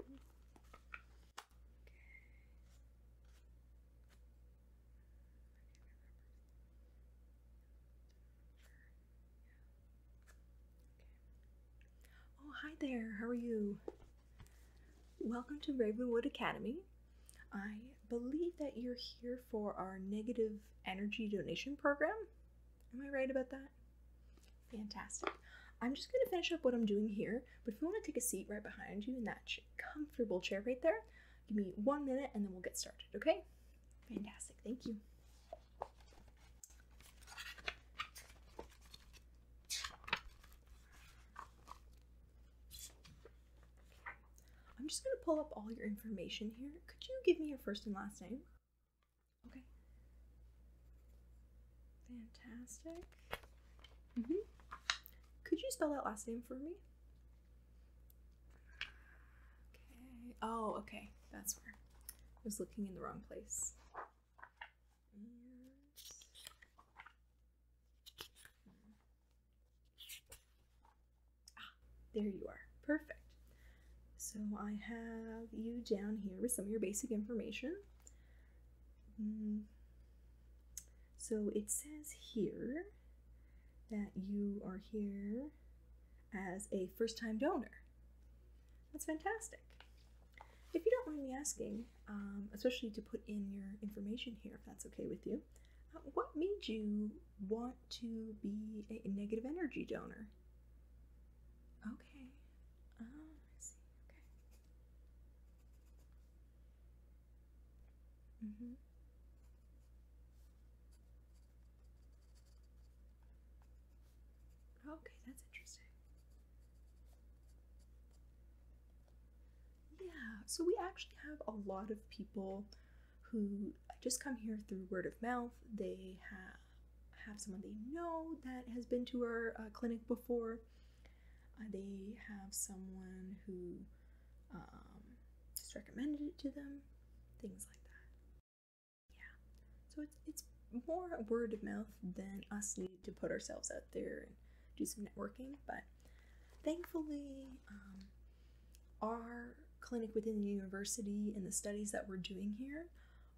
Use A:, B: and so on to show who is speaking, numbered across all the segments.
A: Oh, hi there. How are you? Welcome to Ravenwood Academy. I believe that you're here for our negative energy donation program. Am I right about that? Fantastic. I'm just going to finish up what I'm doing here, but if you want to take a seat right behind you in that comfortable chair right there, give me one minute and then we'll get started, okay? Fantastic, thank you. I'm just going to pull up all your information here. Could you give me your first and last name? Okay. Fantastic. -hmm. Could you spell that last name for me? Okay. Oh, okay. That's where I was looking in the wrong place. Ah, there you are. Perfect. So I have you down here with some of your basic information. Mm. So it says here that you are here as a first time donor. That's fantastic. If you don't mind me asking, um, especially to put in your information here, if that's okay with you, uh, what made you want to be a negative energy donor. Okay. Um, let see. Okay. Mm-hmm. Okay, that's interesting. Yeah, so we actually have a lot of people who just come here through word of mouth. They have have someone they know that has been to our uh, clinic before. Uh, they have someone who um, just recommended it to them, things like that. Yeah, so it's it's more word of mouth than us need to put ourselves out there and do some networking. But thankfully, um, our clinic within the university and the studies that we're doing here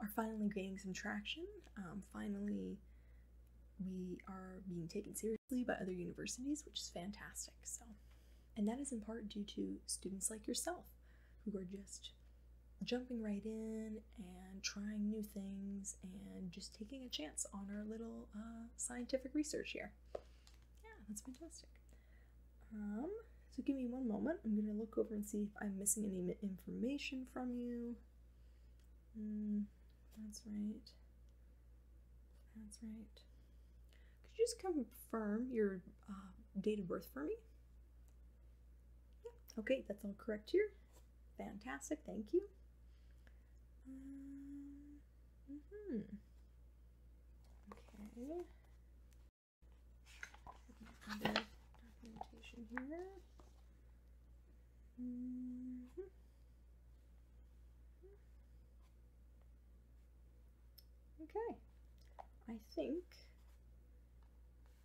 A: are finally gaining some traction. Um, finally, we are being taken seriously by other universities, which is fantastic. So, and that is in part due to students like yourself who are just jumping right in and trying new things and just taking a chance on our little uh, scientific research here. Yeah, that's fantastic. Um, so give me one moment. I'm gonna look over and see if I'm missing any information from you. Mm, that's right. That's right. Could you just confirm your uh, date of birth for me? Yeah. Okay, that's all correct here. Fantastic. Thank you. -hmm. Okay. Mm-hmm. Okay, I think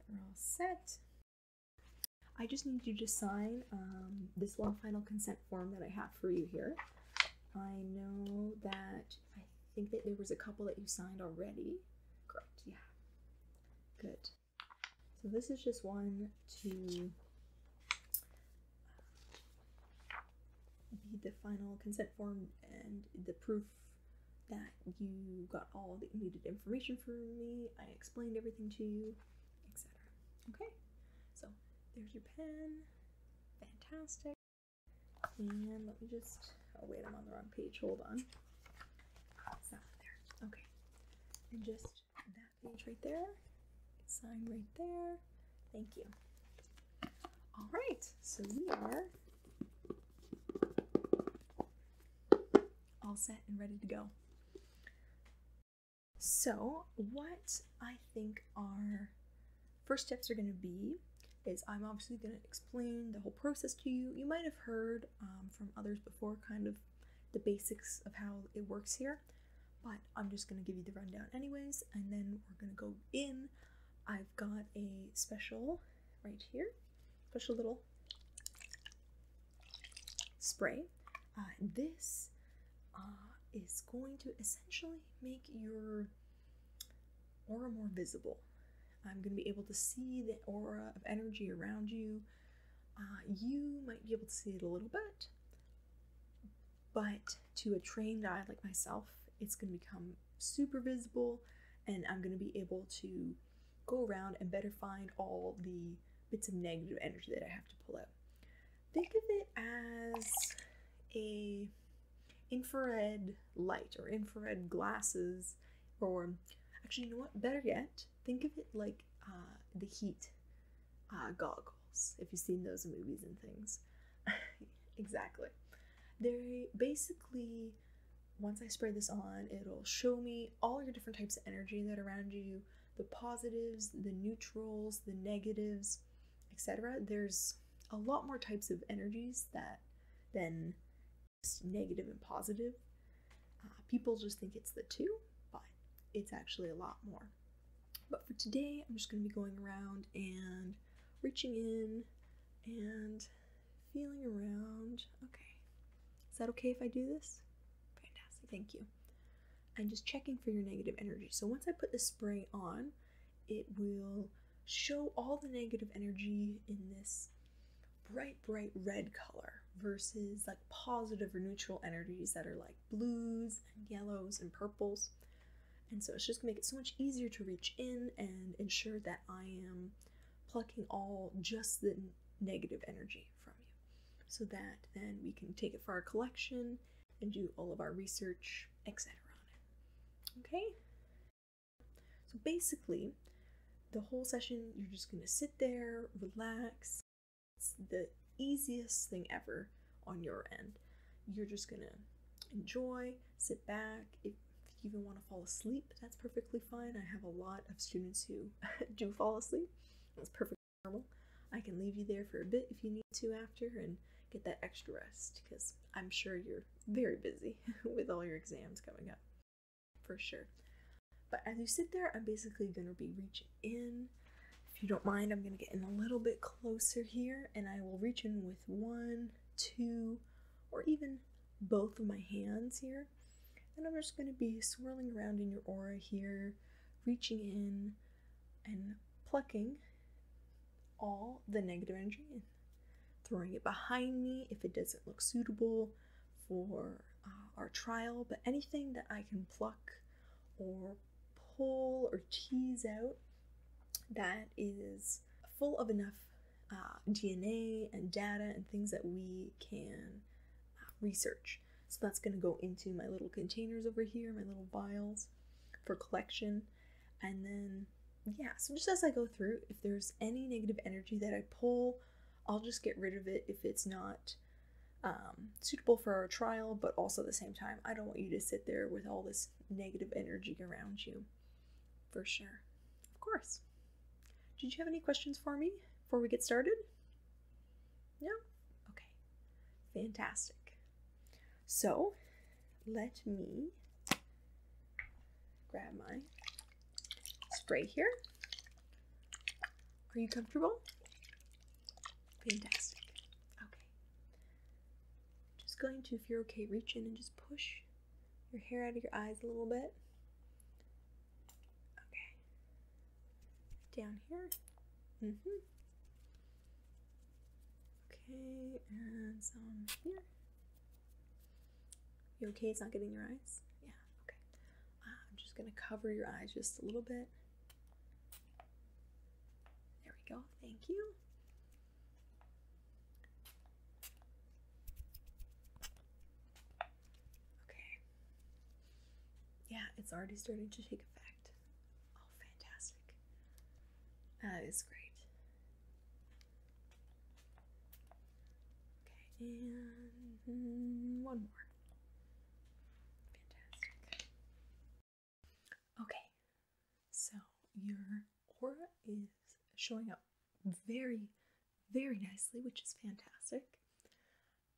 A: we're all set. I just need you to sign um, this one final consent form that I have for you here. I know that I I think that there was a couple that you signed already. Correct, yeah. Good. So this is just one to uh, be the final consent form and the proof that you got all the needed information from me, I explained everything to you, etc. Okay? So there's your pen. Fantastic. And let me just, oh wait, I'm on the wrong page, hold on. okay. And just that page right there, sign right there, thank you. All right, so we are all set and ready to go. So, what I think are First steps are going to be is I'm obviously going to explain the whole process to you. You might have heard um, from others before kind of the basics of how it works here, but I'm just going to give you the rundown anyways, and then we're going to go in. I've got a special right here, special little spray. Uh, this uh, is going to essentially make your aura more visible. I'm going to be able to see the aura of energy around you. Uh, you might be able to see it a little bit, but to a trained eye like myself, it's going to become super visible, and I'm going to be able to go around and better find all the bits of negative energy that I have to pull out. Think of it as a infrared light or infrared glasses, or actually, you know what? Better yet, think of it like uh, the heat uh, goggles, if you've seen those movies and things. exactly. They basically, once I spray this on, it'll show me all your different types of energy that around you the positives, the neutrals, the negatives, etc. There's a lot more types of energies that than and positive. Uh, people just think it's the two, but it's actually a lot more. But for today, I'm just going to be going around and reaching in and feeling around. Okay. Is that okay if I do this? Fantastic. Thank you. I'm just checking for your negative energy. So once I put the spray on, it will show all the negative energy in this bright, bright red color versus like positive or neutral energies that are like blues and yellows and purples. And so it's just gonna make it so much easier to reach in and ensure that I am plucking all just the negative energy from you. So that then we can take it for our collection and do all of our research, etc. on Okay? So basically, the whole session, you're just gonna sit there, relax. It's the easiest thing ever on your end. You're just gonna enjoy, sit back. If you even want to fall asleep, that's perfectly fine. I have a lot of students who do fall asleep. It's perfectly normal. I can leave you there for a bit if you need to after and get that extra rest because I'm sure you're very busy with all your exams coming up for sure. But as you sit there, I'm basically going to be reaching in. If you don't mind, I'm going to get in a little bit closer here and I will reach in with one, two, or even both of my hands here. And I'm just going to be swirling around in your aura here, reaching in and plucking all the negative energy in, throwing it behind me if it doesn't look suitable for uh, our trial, but anything that I can pluck or pull or tease out that is full of enough uh, DNA and data and things that we can uh, research. So that's going to go into my little containers over here, my little vials for collection. And then, yeah, so just as I go through, if there's any negative energy that I pull, I'll just get rid of it if it's not um, suitable for our trial, but also at the same time, I don't want you to sit there with all this negative energy around you. For sure. Of course. Did you have any questions for me before we get started? No? Okay. Fantastic. So, let me grab my spray here. Are you comfortable? Fantastic. Okay. Just going to, if you're okay, reach in and just push your hair out of your eyes a little bit. Okay. Down here. Mm-hmm. Okay, and some here. You okay? It's not getting your eyes? Yeah, okay. Ah, I'm just going to cover your eyes just a little bit. There we go. Thank you. Okay. Yeah, it's already starting to take effect. Oh, fantastic. That is great. Okay, and one more. Fantastic. Okay, so your aura is showing up very, very nicely, which is fantastic.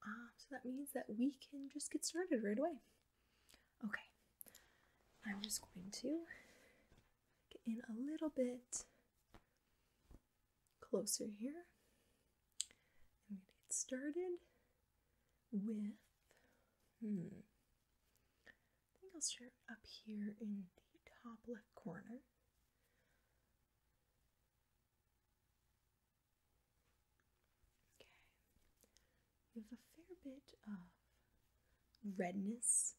A: Um, so that means that we can just get started right away. Okay, I'm just going to get in a little bit closer here. I'm going to get started with, hmm, I think I'll start up here in the top left corner. Okay, you have a fair bit of redness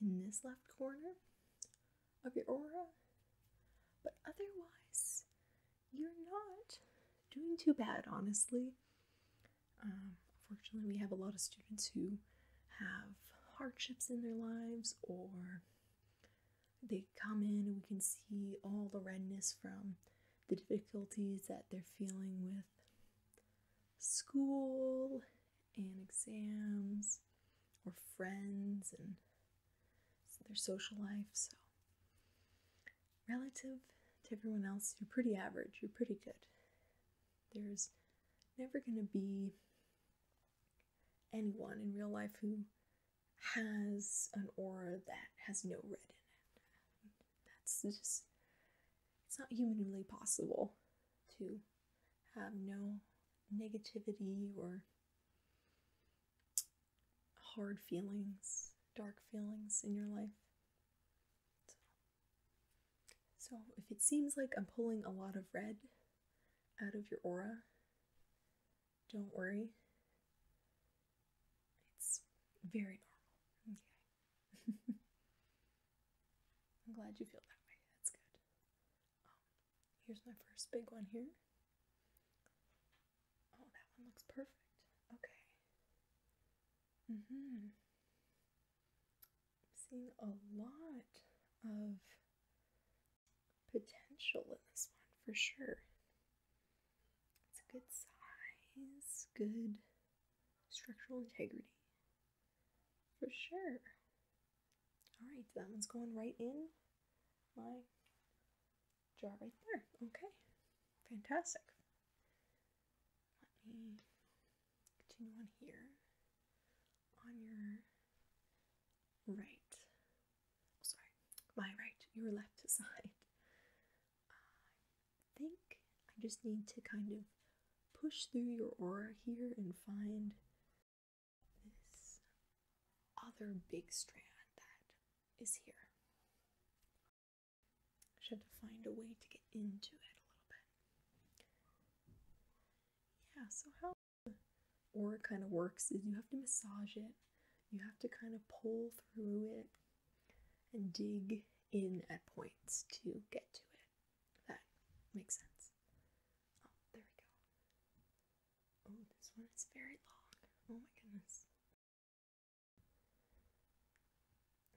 A: in this left corner of your aura. But otherwise, you're not doing too bad, honestly. Um, unfortunately, we have a lot of students who have hardships in their lives, or they come in and we can see all the redness from the difficulties that they're feeling with school and exams or friends and their social life. So, relative to everyone else, you're pretty average, you're pretty good. There's never going to be anyone in real life who has an aura that has no red in it. That's just, it's not humanly possible to have no negativity or hard feelings, dark feelings in your life. So, if it seems like I'm pulling a lot of red out of your aura, don't worry. It's very normal. Okay. I'm glad you feel that way. That's good. Um, here's my first big one here. Oh, that one looks perfect. Okay. hmm. I'm seeing a lot of potential in this one for sure. It's a good size, good structural integrity. For sure. Alright, that one's going right in my jar right there. Okay, fantastic. Let me continue on here on your right. Oh, sorry, my right, your left side. I think I just need to kind of push through your aura here and find this other big strand that is here. I should find a way to get into it a little bit. Yeah, so how the aura kind of works is you have to massage it, you have to kind of pull through it and dig in at points to get to it. That makes sense. Oh, there we go. Oh, this one is very long. Oh my goodness.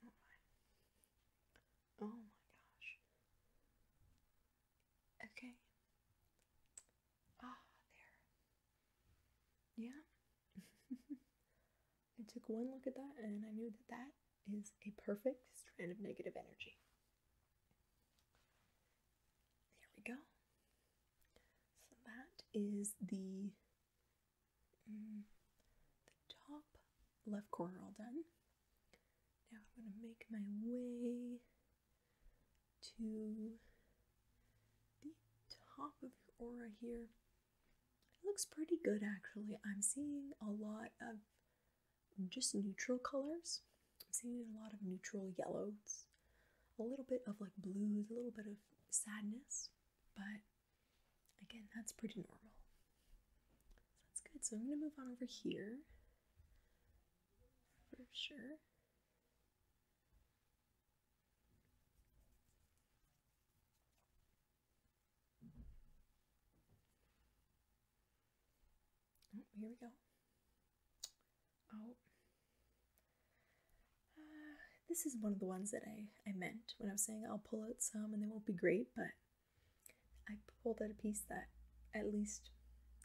A: Oh my. gosh. Okay. Ah, there. Yeah. I took one look at that and I knew that that is a perfect strand of negative energy. There we go. So that is the, mm, top left corner all done. Now I'm going to make my way to the top of your aura here. It looks pretty good actually. I'm seeing a lot of just neutral colors. I'm seeing a lot of neutral yellows, a little bit of like blues, a little bit of sadness, but again, that's pretty normal. that's good. So I'm going to move on over here for sure. Oh, here we go. Oh. Uh, this is one of the ones that I, I meant when I was saying I'll pull out some and they won't be great, but I pulled out a piece that at least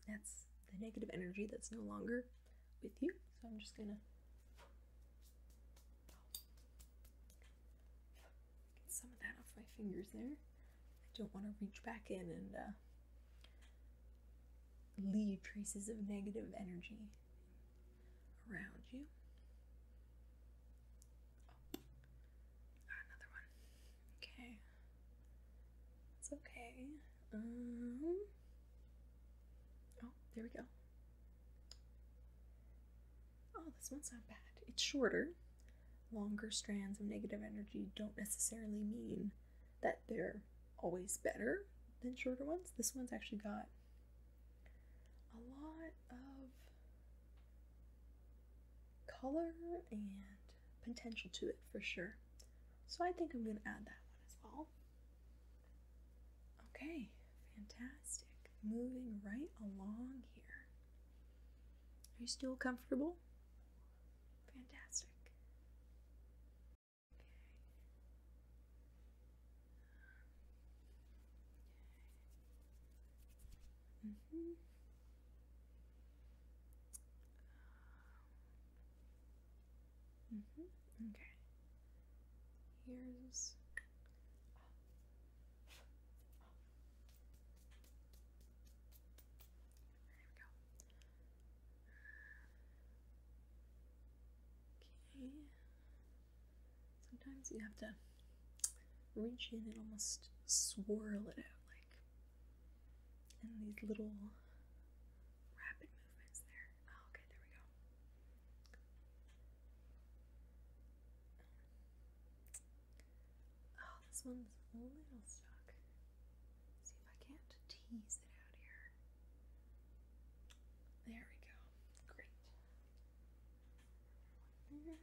A: that's the negative energy that's no longer with you. So I'm just gonna Get some of that off my fingers there. I don't want to reach back in and uh, leave traces of negative energy around you. Oh. Another one. Okay. It's okay. Um, oh, there we go. Oh, this one's not bad. It's shorter, longer strands of negative energy don't necessarily mean that they're always better than shorter ones. This one's actually got a lot of color and potential to it for sure. So I think I'm going to add that one as well. Okay, fantastic. Moving right along here. Are you still comfortable? Fantastic. Okay. Mm hmm Mm hmm Okay. Here's Okay. Sometimes you have to reach in and almost swirl it out, like in these little rapid movements there. Oh, okay, there we go. Oh, this one's a little stuck. see if I can't tease it out here. There we go. Great. Let's see here.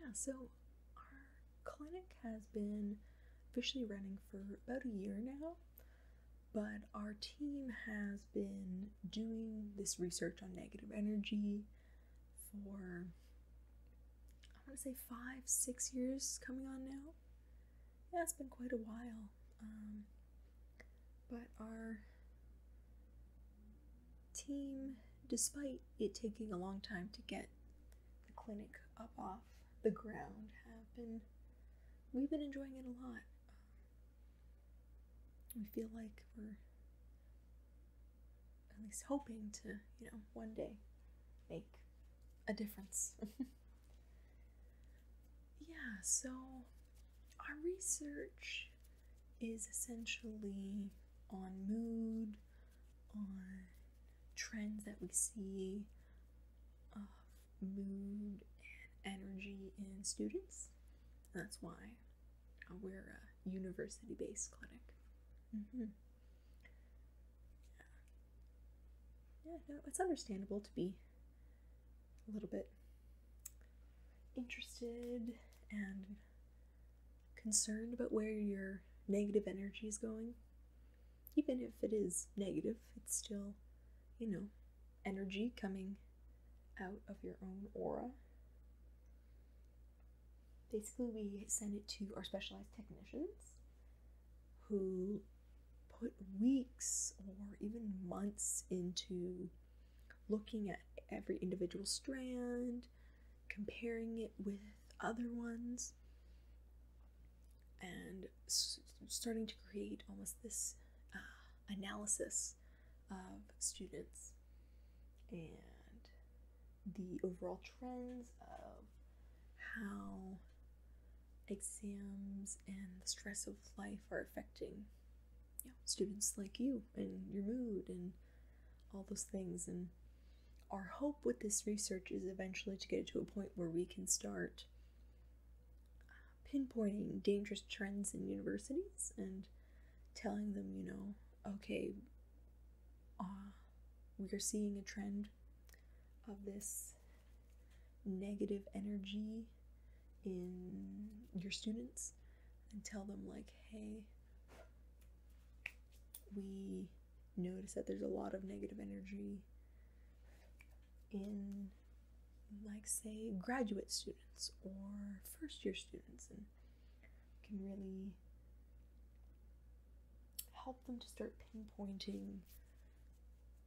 A: Yeah, so our clinic has been officially running for about a year now, but our team has been doing this research on negative energy for I want to say five, six years coming on now yeah, it's been quite a while. Um, but our team, despite it taking a long time to get the clinic up off the ground, have been we've been enjoying it a lot. Um, we feel like we're at least hoping to, you know, one day make a difference. yeah, so our research is essentially on mood, on trends that we see of uh, mood and energy in students. That's why we're a university based clinic. Mm-hmm yeah, no, it's understandable to be a little bit interested and concerned about where your negative energy is going. Even if it is negative, it's still, you know, energy coming out of your own aura. Basically, we send it to our specialized technicians who put weeks or even months into looking at every individual strand, comparing it with other ones, and starting to create almost this uh, analysis of students and the overall trends of how exams and the stress of life are affecting you know, students like you and your mood and all those things. And our hope with this research is eventually to get to a point where we can start uh, pinpointing dangerous trends in universities and telling them, you know, okay, uh, we're seeing a trend of this negative energy in your students and tell them like hey we notice that there's a lot of negative energy in like say graduate students or first year students and can really help them to start pinpointing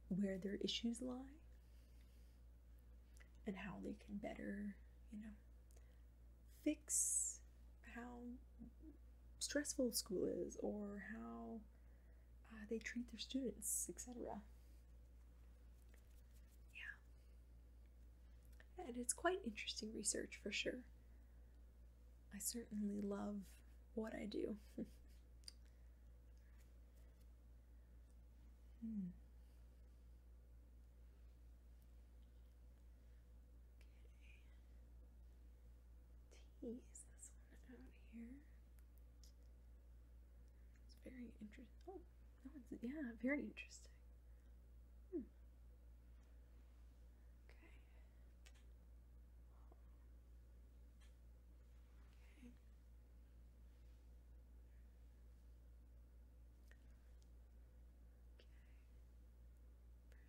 A: where their issues lie and how they can better, you know, fix how stressful school is or how uh, they treat their students, etc. Yeah. And it's quite interesting research for sure. I certainly love what I do. Hmm. Okay. Tease this one out here. It's very interesting. Oh, no, it's yeah, very interesting. Hmm. Okay.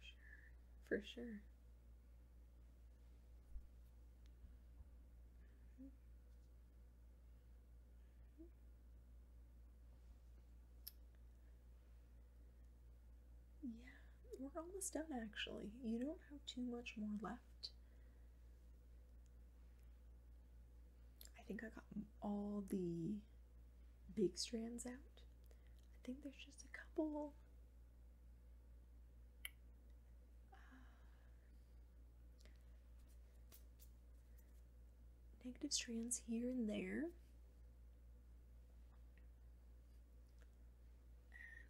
A: Okay. Okay. For sure. For sure. Mm-hmm. Mm-hmm. Yeah, we're almost done actually. You don't have too much more left. I think I got all the big strands out. I think there's just a couple. Uh, negative strands here and there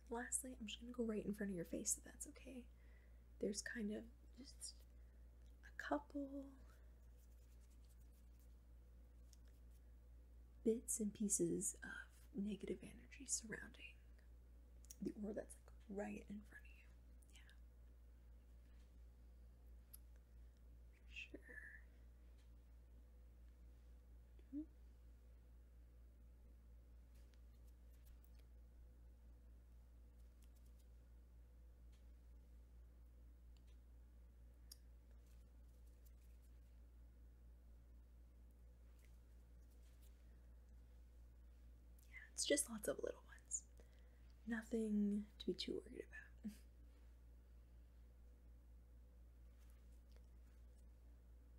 A: lastly, I'm just going to go right in front of your face if that's okay. There's kind of just a couple bits and pieces of negative energy surrounding the aura that's like right in front of you. Yeah. Sure. Hmm? Yeah, it's just lots of little ones. Nothing to be too worried about.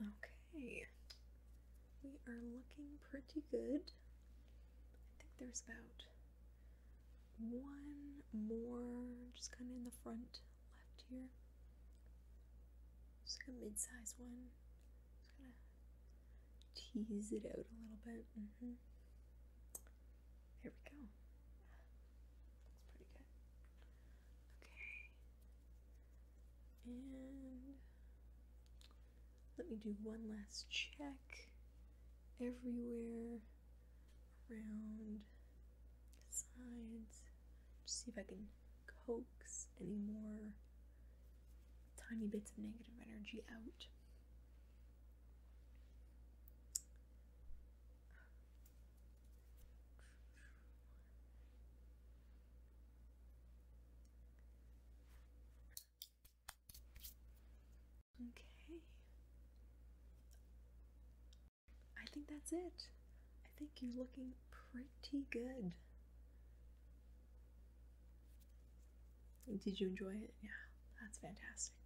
A: Okay, we are looking pretty good. I think there's about one more just kind of in the front left here. It's like a mid sized one. Just gonna tease it out a little bit. Mm-hmm. Here we go. That's pretty good. Okay. And let me do one last check everywhere around the sides. see if I can coax any more tiny bits of negative energy out. Okay. I think that's it. I think you're looking pretty good. Did you enjoy it? Yeah, that's fantastic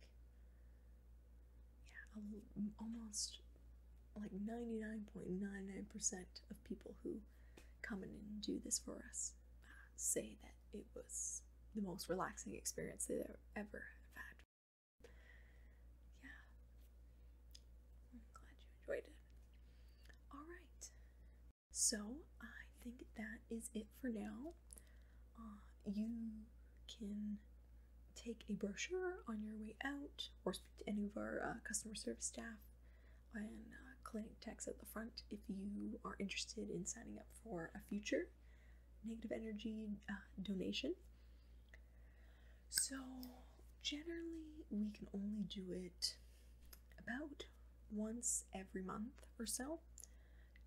A: yeah, almost like 99.99% of people who come and do this for us uh, say that it was the most relaxing experience they have ever had. Yeah. I'm glad you enjoyed it. Alright. So I think that is it for now. Uh, you can take a brochure on your way out or speak to any of our uh, customer service staff and uh, clinic techs at the front if you are interested in signing up for a future negative energy donation. So, generally, we can only do it about once every month or so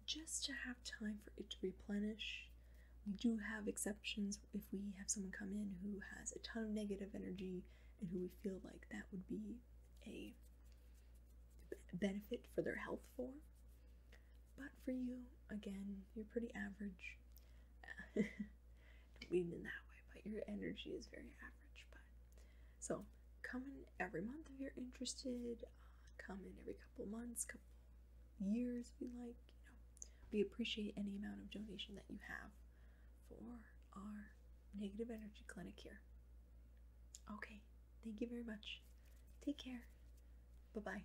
A: just to have time for it to replenish. We do have exceptions if we have someone come in who has a ton of negative energy and who we feel like that would be a benefit for their health for. But for you, again, you're pretty average. Don't mean in that way, but your energy is very average. But so come in every month if you're interested. Uh, come in every couple months, couple years. if you like, you know, we appreciate any amount of donation that you have for our negative energy clinic here. Okay, thank you very much. Take care. Bye bye.